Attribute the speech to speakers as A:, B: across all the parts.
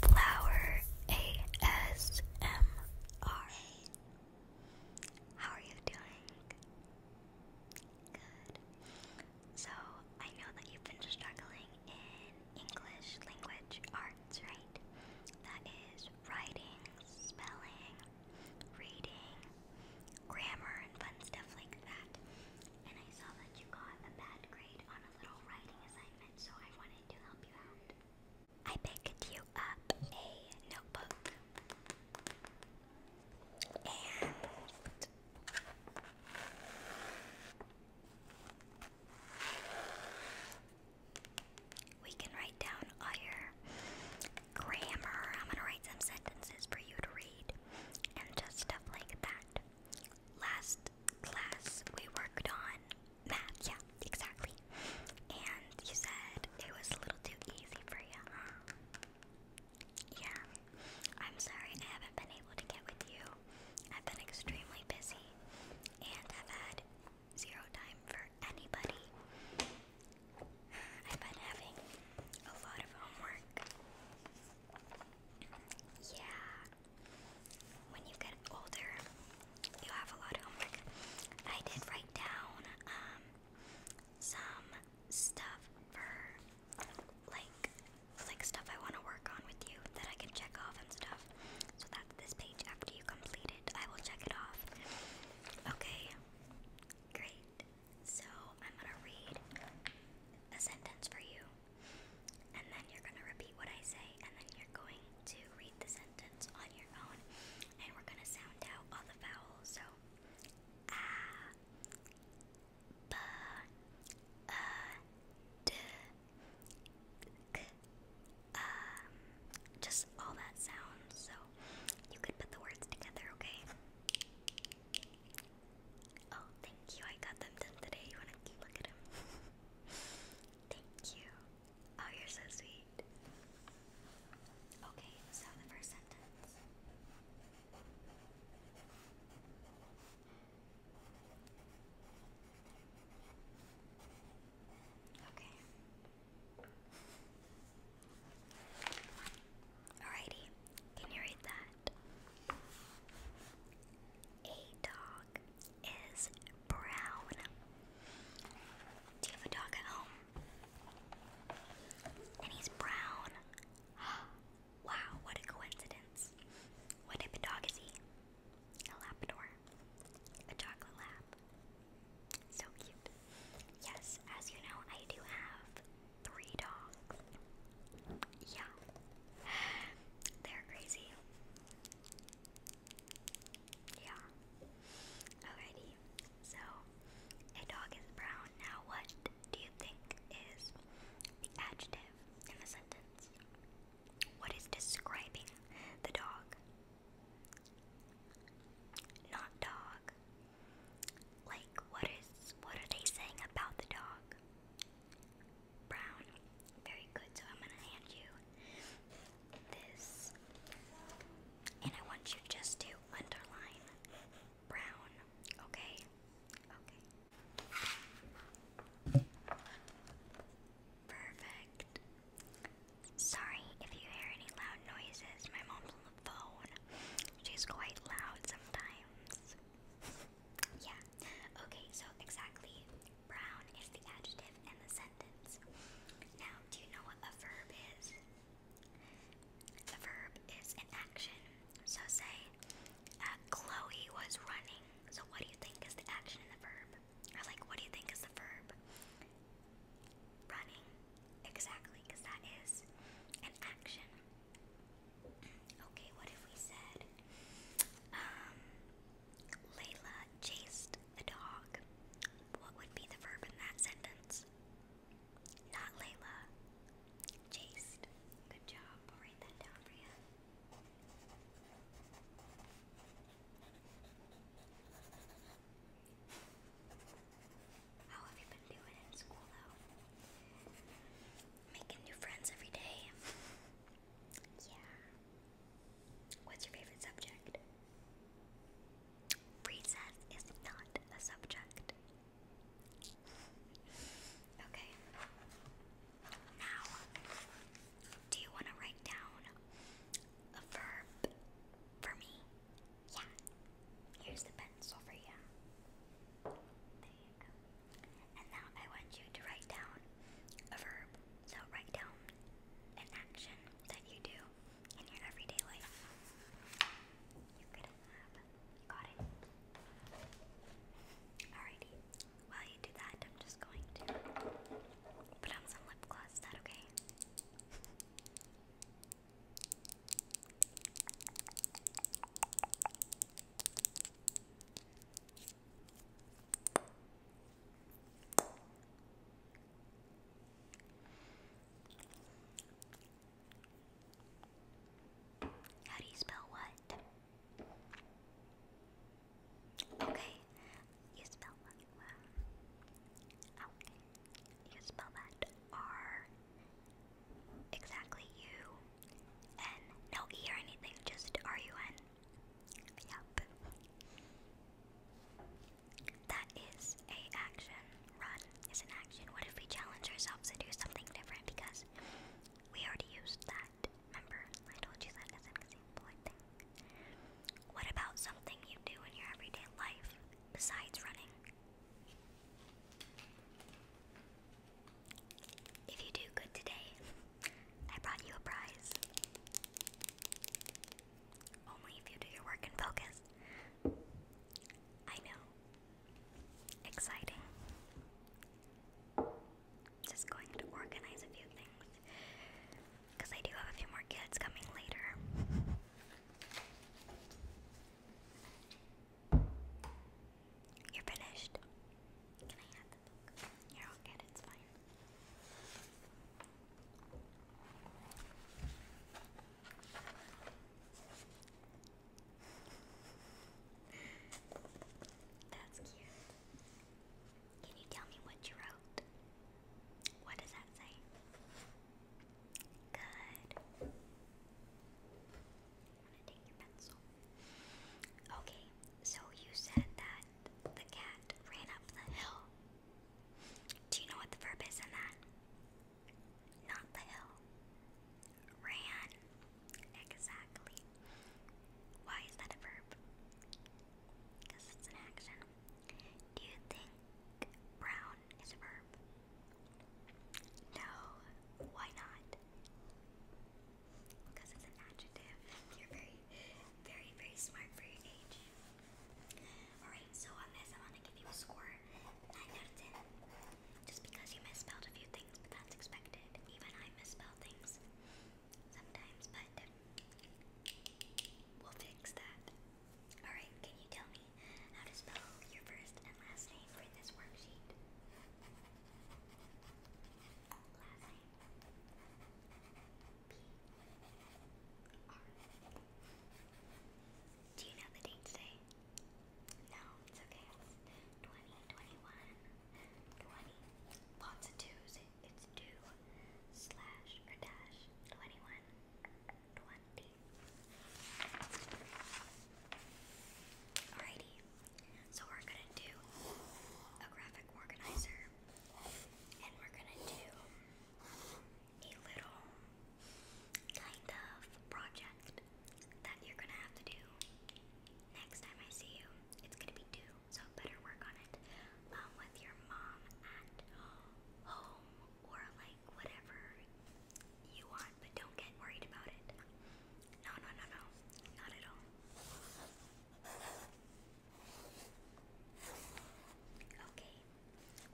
A: Flower ASMR. How are you doing? Good. So, I know that you've been struggling in English language arts, right? That is writing, spelling, reading, grammar, and fun stuff like that. And I saw that you got a bad grade on I picked you up a notebook and we can write down all your grammar. I'm gonna write some sentences for you to read and just stuff like that last class we worked on math, yeah, exactly. And you said it was a little too easy for you, huh? Yeah. I'm sorry I haven't been able to get with you. I've been extremely busy and have had zero time for anybody. I've been having a lot of homework. Yeah. When you get older, you have a lot of homework. I did write down um, some stuff for like like stuff I want to work on with you that I can check off and stuff. So that's this page. After you complete it, I will check it off. Okay. Great. So I'm gonna read a sentence for you and then you're going to repeat what I say, and then you're going to read the sentence on your own, and we're going to sound out all the vowels. So, ah, um, just all that sounds. So, you could put the words together, okay? Oh, thank you. I got them done today. You want to look at them? thank you. Oh, you're so sweet. Okay, so the first sentence. Okay. Alrighty, can you read that? A dog is brown. Do you have a dog at home? And he's brown. wow, what a coincidence. What type of dog is he? A Labrador. A chocolate lab. So cute. Yes, as you know, I do have three dogs. Yeah. They're crazy. Yeah. Alrighty. So, a dog is brown. Now, what do you think is the adjective in the sentence? What is describing the dog? Not dog. Like what is what are they saying about the dog? Brown. Very good. So I'm gonna hand you this. And I want you just to underline brown. Okay? Okay. Perfect. Sorry if you hear any loud noises. My mom's on the phone. She's quite loud sometimes. Yeah. Okay, so exactly. Brown is the adjective in the sentence. Now, do you know what a verb is? A verb is an action. So, say, uh, Chloe was running. So, what do you think is the action in the verb? Or, like, what do you think is the verb? Running. Exactly, because that is an action. Okay, what if we said, um, Layla chased the dog? What would be the verb in that sentence? Not Layla, chased. Good job. I'll write that down for you. How have you been doing in school though? Making new friends every day? Yeah. What's your favorite subject? Recess is not a subject. Okay. Now, do you want to write down a verb for me? Yeah, here's the pencil for you. There you go. And now I want you to write down a verb. So write down an action that you do in your everyday life. You got it. Alrighty. While you do that, I'm just going to put on some lip gloss. Is that okay? How do you spell what? Okay, you spell what? Wow. Okay, oh. you spell that R Exactly, U N. No E or anything, just R U N. Yup. That is a action. Run is an action. What if we challenge ourselves to do something different? Because we already used that. Remember, I told you that as an example, I What about something you do in your everyday life besides running? If you do good today, I brought you a prize. Only if you do your work and focus. I know. Exciting. Just going to organize a few things. Because I do have a few more kids coming later. You're finished. Can I have the book? You're all good, it's fine. That's cute. Can you tell me what you wrote? What does that say? Good. I'm to take your pencil. Okay, so you said that the cat ran up the hill. Do you know what the verb is in that? Not the hill. Ran. Exactly. Why is that a verb? Because it's an action. Do you think brown is a verb? No. Why not? Because it's an adjective. You're very, very, very smart for your age. Alright, so on this, I want to give you a score 9 out of Just because you misspelled a few things, but that's expected. Even I misspell things sometimes, but we'll fix that. Alright, can you tell me how to spell your first and last name for this worksheet? Last name. P. R. Do you know the date today? No, it's okay. It's 2021. 20. Lots of twos. It's two slash or dash 21. 20. Alrighty, so we're gonna do a graphic organizer and we're gonna do a little kind of project that you're gonna have to do next time I see you. It's gonna be due, so better work on it um, with your mom at home or like whatever you want, but don't get worried about it. No, no, no, no, not at all. Okay,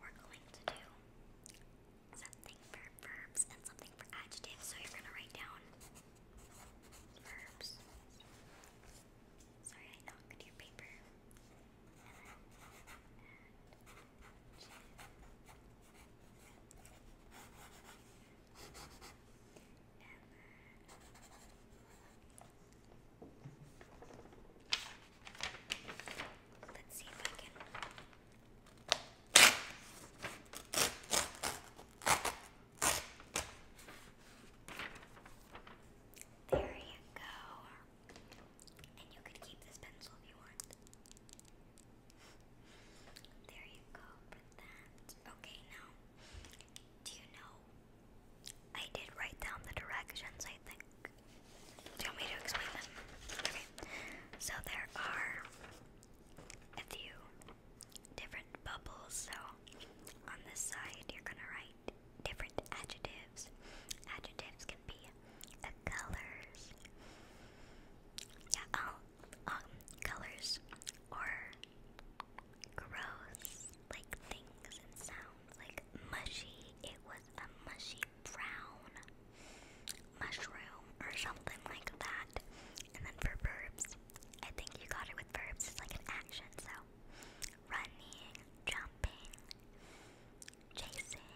A: we're going to do something for verbs and something for adjectives, so you're gonna write down verbs. Sorry, I knocked your paper then let's see if I can there you go. And you could keep this pencil if you want. there you go with that. Okay, now, do you know? I did write down the directions, I think. Do you want me to explain them? Okay. So there are a few different bubbles. So on this side, you're going to write write different adjectives. Adjectives can be the colors. Yeah, oh, um, colors or gross, like things and sounds, like mushy. It was a mushy brown mushroom or something like that. And then for verbs, I think you got it with verbs. It's like an action, so running, jumping, chasing,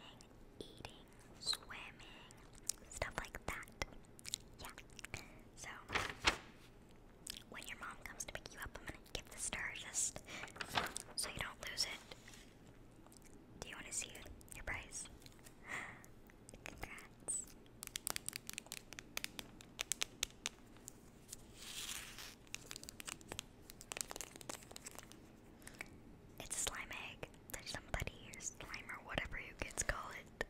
A: eating, swimming, stuff like that. Yeah. So when your mom comes to pick you up, I'm gonna give the star just so you don't lose it. Do you want to see your prize? Congrats. It's a slime egg. There's somebody here, slime or whatever you kids call it,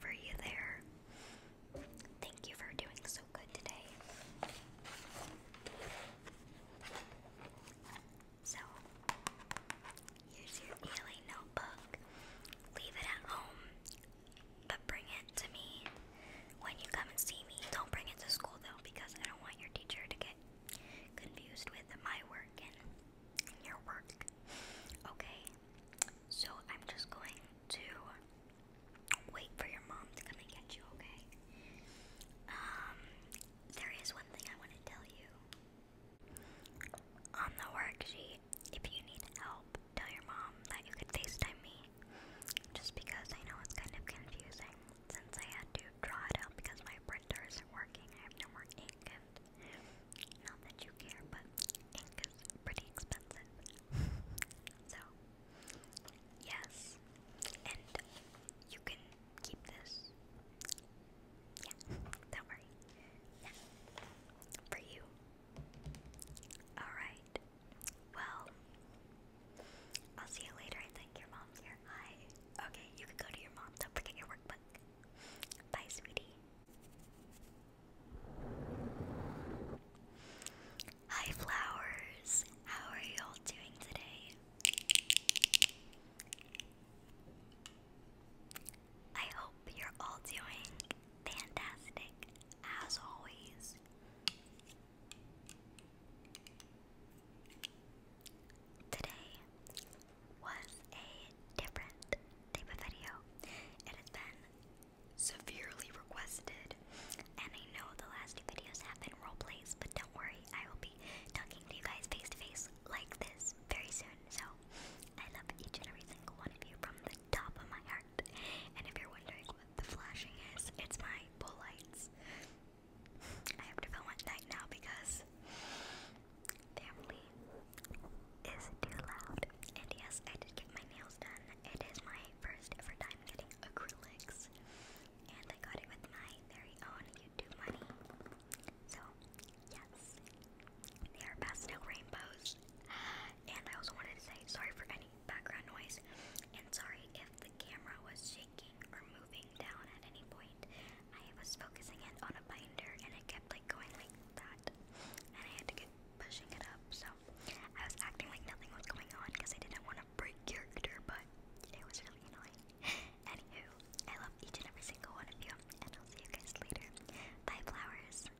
A: for you there. Thank you for doing so good today. So, here's your daily notebook. Leave it at home. But bring it to me when you come and see me. Don't bring it to school though, because I don't want your teacher to get confused with my work and your work. Okay, so I'm just going to wait for your mom to come and get you, okay? Um, there is one thing I want to tell you. On the worksheet, if you need help tell your mom that you could FaceTime me. Just because I know it's kind of confusing since I had to draw it out because my printer isn't working. I have no more ink, and not that you care, but ink is pretty expensive. so, yes. And you can keep this. Yeah, don't worry. Yeah. For you. Alright. Well, I'll see you later. I think your mom's here. Hi. Okay, you can go to your mom. Don't forget your workbook. Bye, sweetie. Hi, flowers. How are you all doing today? I hope you're all doing fantastic, as always. Today was a different type of video. It has been severely requested, and I know the last two videos have been role plays, but don't worry, I will be talking to you guys face to face like this very soon. So I love each and every single one of you from the top of my heart. And if you're wondering what the flashing is, it's my pole lights. I have to film at night now because family is too loud. And yes, I did get my nails done. It is my first ever time getting acrylics. And I got it with my very own YouTube money. So, yes. They are pastel rainbows. And I also wanted to say sorry for any background noise, and sorry if the camera was shaking or moving down at any point. I was focusing it on a binder, and it kept like going like that, and I had to keep pushing it up. So I was acting like nothing was going on because I didn't want to break character, but it was really annoying. Anywho, I love each and every single one of you, and I'll see you guys later. Bye, flowers.